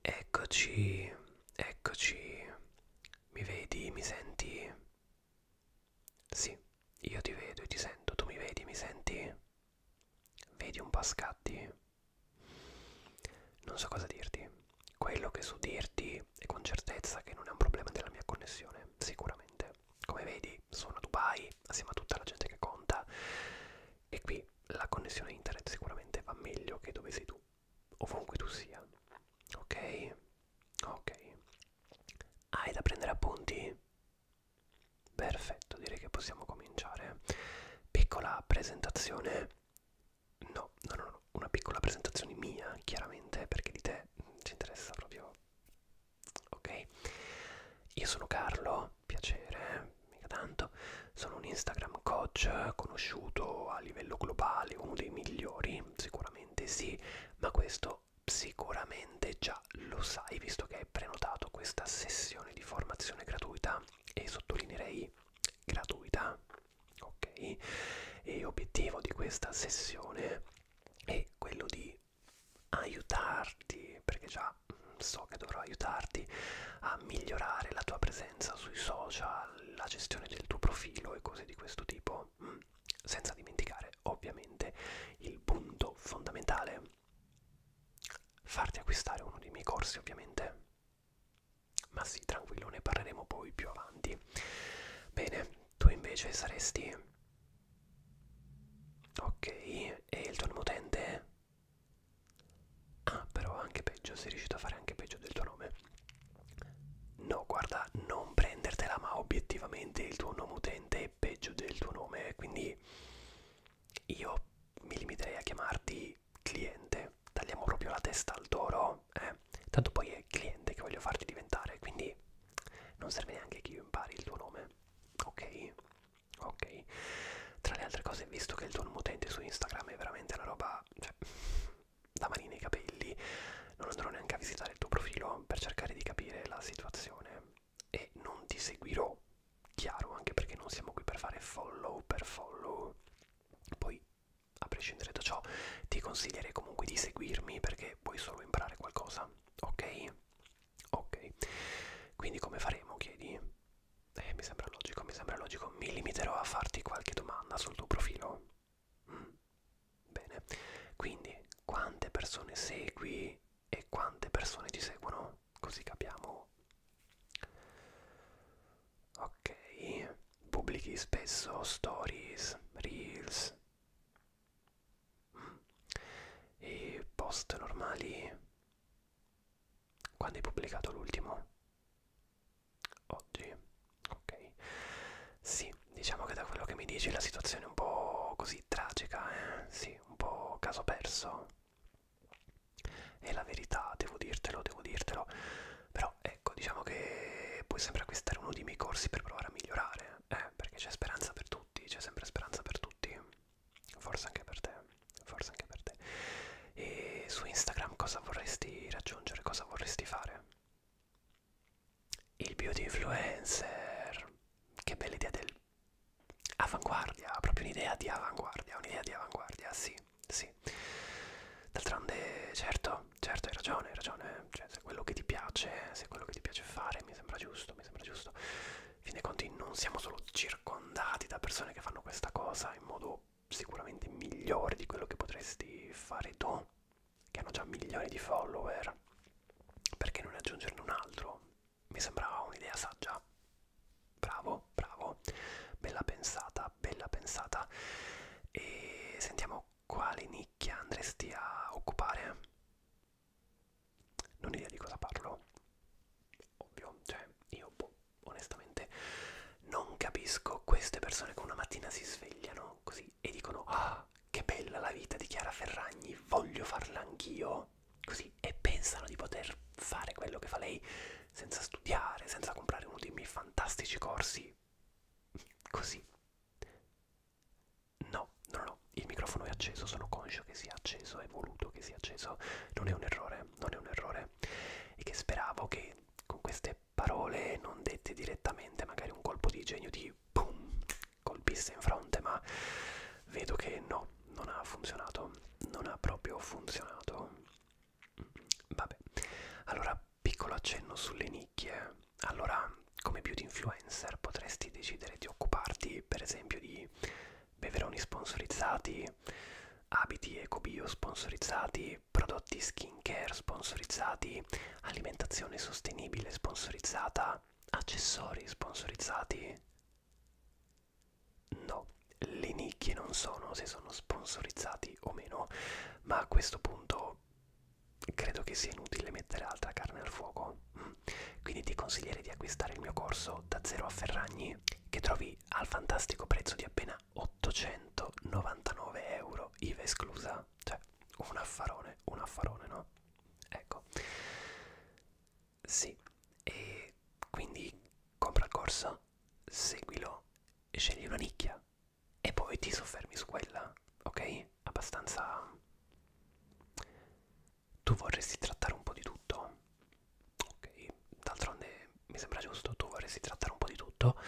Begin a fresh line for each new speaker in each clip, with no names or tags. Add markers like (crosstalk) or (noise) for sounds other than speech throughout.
Eccoci, eccoci. Mi vedi, mi senti? Sì, io ti vedo e ti sento. Tu mi vedi, mi senti? Vedi un po' scatti? Non so cosa dirti. Quello che so dirti è con certezza che non è un problema della mia connessione, sicuramente. Come vedi, sono a Dubai, assieme a tutta la gente che conta e qui la connessione internet sicuramente va meglio che dove sei tu, ovunque tu sia. Ok? Ok. Hai da prendere appunti? Perfetto, direi che possiamo cominciare. Piccola presentazione. No, no, no, no, una piccola presentazione mia, chiaramente, perché di te ci interessa proprio. Ok? Io sono Carlo, piacere, eh, mica tanto. Sono un Instagram coach eh, conosciuto a livello globale, uno dei migliori, sicuramente sì, ma questo sicuramente già lo sai visto che hai prenotato questa sessione di formazione gratuita e sottolineerei gratuita, ok? E obiettivo di questa sessione è quello di aiutarti, perché già ma so che dovrò aiutarti a migliorare la tua presenza sui social, la gestione del tuo profilo e cose di questo tipo, mm. senza dimenticare ovviamente il punto fondamentale, farti acquistare uno dei miei corsi ovviamente. Ma sì, tranquillo, ne parleremo poi più avanti. Bene, tu invece saresti... Ok, e il tuo nuovo utente? Ah, però anche peggio, sei riuscito a fare anche peggio del tuo nome. No, guarda, non prendertela, ma obiettivamente il tuo nome utente è peggio del tuo nome, quindi io mi limiterei a chiamarti cliente. Tagliamo proprio la testa al toro, eh? Tanto poi è cliente che voglio farti diventare, quindi non serve neanche che io impari il tuo nome, ok? ok tra le altre cose visto che il tuo utente su Instagram è veramente una roba cioè, da mani nei capelli non andrò neanche a visitare il tuo profilo per cercare di capire la situazione e non ti seguirò chiaro anche perché non siamo qui per fare follow per follow poi a prescindere da ciò ti consiglierei comunque di seguirmi perché puoi solo imparare qualcosa ok ok quindi come faremo chiedi eh, mi sembra logico, mi sembra logico. Mi limiterò a farti qualche domanda sul tuo profilo. Mm. Bene, quindi quante persone segui e quante persone ti seguono? Così capiamo. Ok, pubblichi spesso stories, reels. Mm. E post normali? Quando hai pubblicato l'ultimo? Oggi? Ok. Sì, diciamo che da quello che mi dici la situazione è un po' così tragica, eh? Sì, un po' caso perso. È la verità, devo dirtelo, devo dirtelo. Però ecco, diciamo che puoi sempre acquistare uno dei miei corsi per provare a migliorare, eh? Perché c'è speranza per tutti, c'è sempre speranza per tutti forse anche per te, forse anche per te. E su Instagram cosa vorresti raggiungere, cosa vorresti fare? Il beauty influencer, che bella idea del... Avanguardia, proprio un'idea di avanguardia, un'idea di avanguardia, sì, sì. D'altronde, certo, certo, hai ragione, hai ragione. Cioè, se quello che ti piace, se quello che ti piace fare, mi sembra giusto, mi sembra giusto fine conti non siamo solo circondati da persone che fanno questa cosa in modo sicuramente migliore di quello che potresti fare tu, che hanno già milioni di follower, perché non aggiungerne un altro? Mi sembrava un'idea saggia. Bravo, bravo, bella pensata, bella pensata. E sentiamo quale nicchia andresti a occupare. Non ho idea di cosa parlo. Ovvio, cioè, io boh, onestamente non capisco queste persone che una mattina si svegliano così e dicono ah che bella la vita di Chiara Ferragni, voglio farla anch'io, così e pensano di poter fare quello che fa lei senza studiare, senza comprare uno dei miei fantastici corsi. Così. No, no, no, il microfono è acceso, sono conscio che sia acceso, è voluto che sia acceso, non è un errore errore, non è un errore, e che speravo che con queste parole non dette direttamente magari un colpo di genio di boom colpisse in fronte, ma vedo che no, non ha funzionato, non ha proprio funzionato. Vabbè, allora piccolo accenno sulle nicchie. Allora, come beauty influencer potresti decidere di occuparti per esempio di beveroni sponsorizzati, abiti ecobio sponsorizzati, prodotti skincare sponsorizzati, alimentazione sostenibile sponsorizzata, accessori sponsorizzati. No, le nicchie non sono se sono sponsorizzati o meno, ma a questo punto credo che sia inutile mettere altra carne al fuoco. Mm. Quindi ti consiglierei di acquistare il mio corso da zero a Ferragni che trovi Play al fantastico prezzo di appena 899 euro, IVA esclusa. Cioè, un affarone, un affarone, no? Ecco. Sì, e quindi compra il corso, seguilo e scegli una nicchia e poi ti soffermi su quella, ok? Abbastanza... Tu vorresti trattare un po' di tutto? ok d'altronde mi sembra giusto tu vorresti trattare un po' di tutto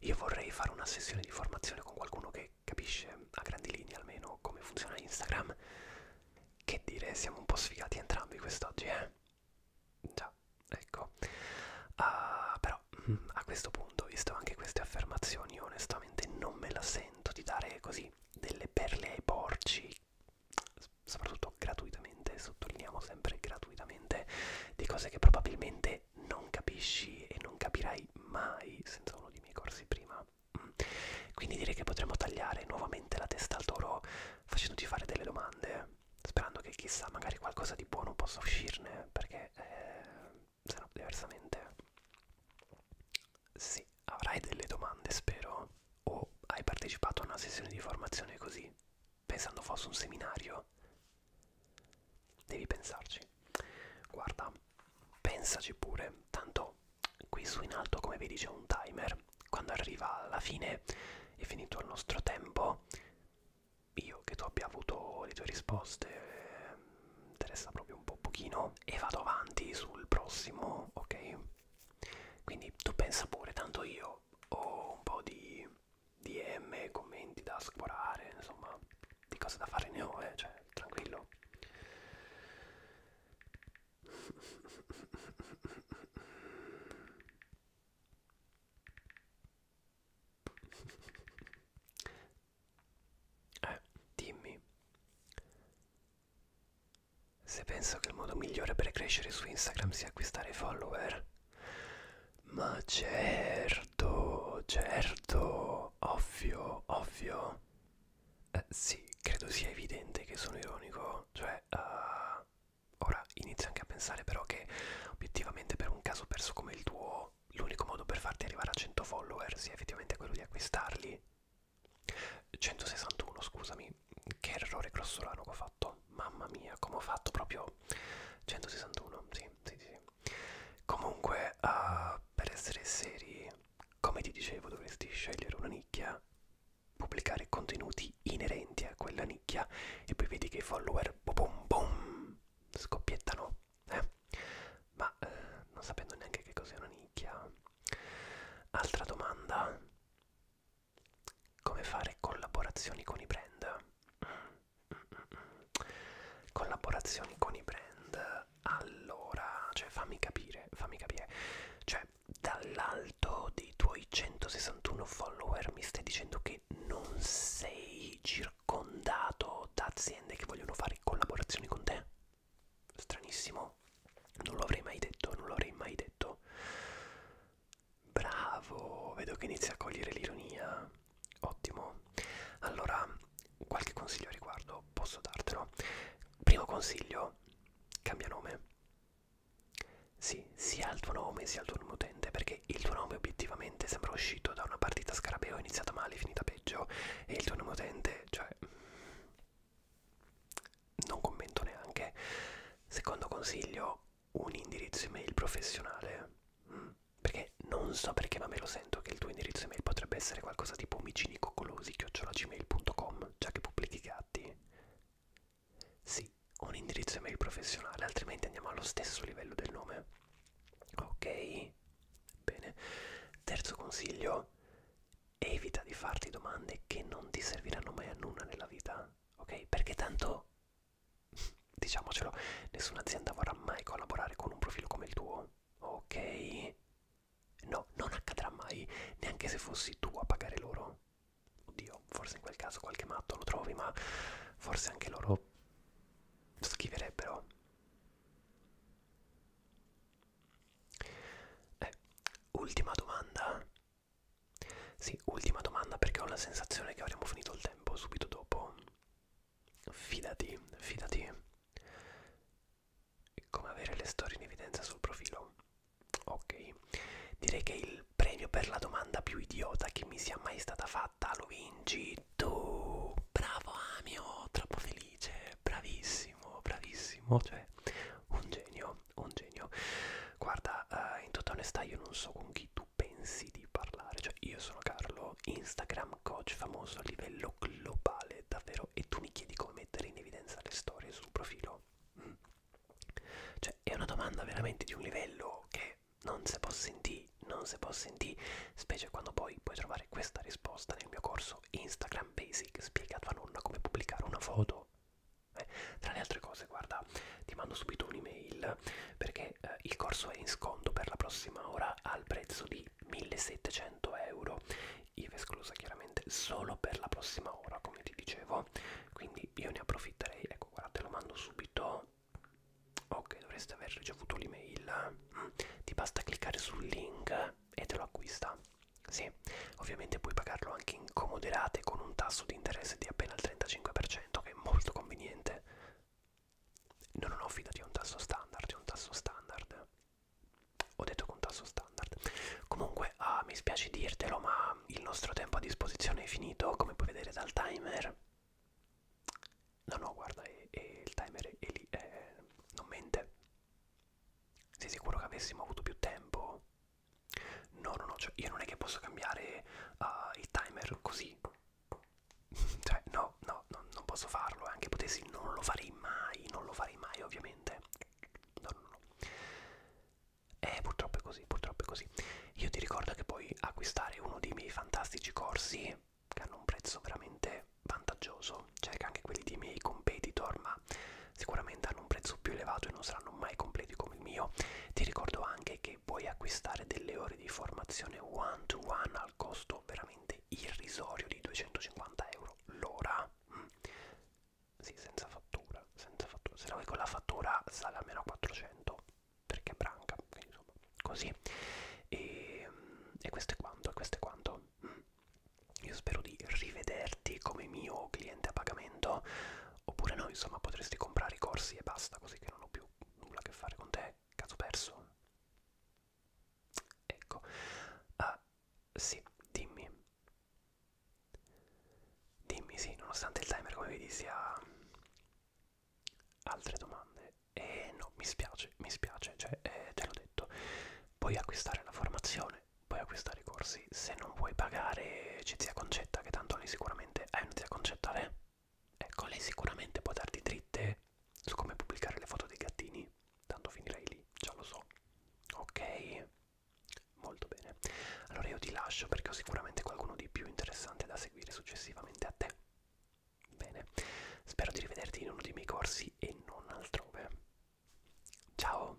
io vorrei fare una sessione di formazione con qualcuno che capisce a grandi linee almeno come funziona Instagram che dire siamo un po' sfigati entrambi quest'oggi eh già ecco uh, però mm, a questo punto visto anche queste affermazioni io onestamente non me la sento di dare così delle perle ai porci soprattutto gratuitamente, sottolineiamo sempre gratuitamente, di cose che probabilmente non capisci e non capirai mai senza uno dei miei corsi prima. Mm. Quindi direi che potremmo tagliare nuovamente la testa al toro facendoti fare delle domande, sperando che chissà magari qualcosa di buono possa uscirne, perché eh, se no diversamente sì, avrai delle domande spero o hai partecipato a una sessione di formazione così, pensando fosse un seminario? Devi pensarci. Guarda, pensaci pure, tanto qui su in alto come vedi c'è un timer, quando arriva alla fine è finito il nostro tempo, io che tu abbia avuto le tue risposte eh, interessa proprio un po' pochino e vado avanti sul prossimo, ok? Quindi tu pensa pure, tanto io ho un po' di DM, commenti da scorare, insomma, di cose da fare ne ho, eh, cioè, tranquillo. Eh, dimmi se penso che il modo migliore per crescere su Instagram sia acquistare follower. Ma certo, certo, ovvio, ovvio. Eh, sì, credo sia evidente che sono ironico. Cioè, uh, ora inizio anche a pensare però che obiettivamente per un caso perso come il tuo, l'unico modo per farti arrivare a 100 follower sia effettivamente quello di acquistarli. 161, scusami, poi che errore grossolano che ho fatto mamma mia come ho fatto proprio 161 sì sì sì comunque uh, per essere seri come ti dicevo dovresti scegliere una nicchia pubblicare contenuti inerenti a quella nicchia e poi vedi che i follower boom boom scoppiettano eh? ma eh, non sapendo neanche che cos'è una nicchia altra domanda come fare collaborazioni con i brand? Collaborazioni con i brand, allora, cioè fammi capire, fammi capire, cioè dall'alto dei tuoi 161 follower mi stai dicendo che non sei circondato da aziende che vogliono fare collaborazioni con te? Stranissimo, non l'avrei mai detto, non l'avrei mai detto. Bravo, vedo che inizia a cogliere l'ironia. Ottimo. Allora, qualche consiglio a riguardo posso dartelo. Primo consiglio, cambia nome. Sì, sia il tuo nome sia il tuo nome utente, perché il tuo nome obiettivamente sembra uscito da una partita scarabeo iniziata male, finita peggio, e il tuo nome utente, cioè non commento neanche. Secondo consiglio, un indirizzo email professionale. Mm. Perché non so perché, ma me lo sento che il tuo indirizzo email potrebbe essere qualcosa tipo omicinicoccolosi.gmail.com, già che pubblichi gatti. Sì, un indirizzo email professionale, altrimenti andiamo allo stesso livello del nome. Ok? Bene. Terzo consiglio, evita di farti domande che non ti serviranno mai a nulla nella vita ok? Perché tanto, (laughs) diciamocelo, nessuna azienda vorrà mai collaborare con un profilo come il tuo, ok? No, non accadrà mai, neanche se fossi tu a pagare loro. Oddio, forse in quel caso qualche matto lo trovi, ma forse anche loro schiverebbero. Eh, ultima domanda sì, ultima domanda perché ho la sensazione che avremo finito il tempo subito dopo. Fidati, fidati. Come avere le storie in evidenza sul profilo? Ok, direi che il premio per la domanda più idiota che mi sia mai stata fatta lo vinci tu. Bravo Amio, troppo felice, bravissimo, bravissimo, cioè un genio un genio. Guarda, uh, in tutta onestà io non so con chi tu pensi di parlare, cioè io sono Carlo, Instagram coach famoso a livello globale, davvero, e tu mi chiedi come mettere in evidenza le storie sul profilo? Mm. Cioè è una domanda veramente di un livello che non si può sentire, non si può sentire, specie quando poi puoi trovare questa risposta nel mio corso Instagram Basic, spiega a tua nonna come pubblicare una foto eh, tra le altre cose, guarda, ti mando subito un'email perché eh, il corso è in sconto per la prossima ora al prezzo di 1700 euro, IVA esclusa chiaramente solo per la prossima ora, come ti dicevo. Quindi io ne approfitterei. Ecco, guarda, te lo mando subito. Ok, dovresti aver ricevuto l'email. Mm. Ti basta cliccare sul link e te lo acquista. Sì, Ovviamente puoi pagarlo anche in comoderate con un tasso di interesse di appena il 35%, che è molto conveniente. No, no, no, fidati, è un tasso standard, è un tasso standard. Ho detto che un tasso standard. Comunque, ah, mi spiace dirtelo, ma il nostro tempo a disposizione è finito, come puoi vedere dal timer. No, no, guarda, è, è il timer è, è lì, è, non mente. Sei sicuro che avessimo avuto più tempo? No, no, no, cioè io non è che posso cambiare uh, il timer così. (laughs) cioè, no, no, no, non posso farlo. Eh, anche potessi, non lo farei mai, non lo farei mai, ovviamente. No, no, no. Eh, purtroppo è così, purtroppo è così. Io ti ricordo che puoi acquistare uno dei miei fantastici corsi, che hanno un prezzo veramente vantaggioso. Cerca anche quelli dei miei competitor, ma sicuramente hanno un prezzo più elevato e non saranno mai completi come il mio. Ti ricordo anche che puoi acquistare delle ore di formazione one to one al costo veramente irrisorio di 250 euro l'ora. Mm. Sì, senza fattura, senza fattura. Se la vuoi con la fattura sale almeno a 400 perché è branca, quindi, insomma, così. E, ehm, e questo è quanto, e questo è quanto. Mm. Io spero di rivederti come mio cliente a pagamento Oppure no, insomma, potresti comprare i corsi e basta, così che non ho più nulla a che fare con te, caso perso. Ecco. Ah, sì, dimmi. Dimmi, sì, nonostante il timer, come vedi, sia... Altre domande? Eh no, mi spiace, mi spiace, cioè, eh, te l'ho detto. Puoi acquistare la formazione puoi acquistare i corsi se non vuoi pagare c'è zia concetta che tanto lei sicuramente è una zia concetta lei eh? ecco lei sicuramente può darti dritte su come pubblicare le foto dei gattini tanto finirei lì già lo so ok molto bene allora io ti lascio perché ho sicuramente qualcuno di più interessante da seguire successivamente a te bene spero di rivederti in uno dei miei corsi e non altrove ciao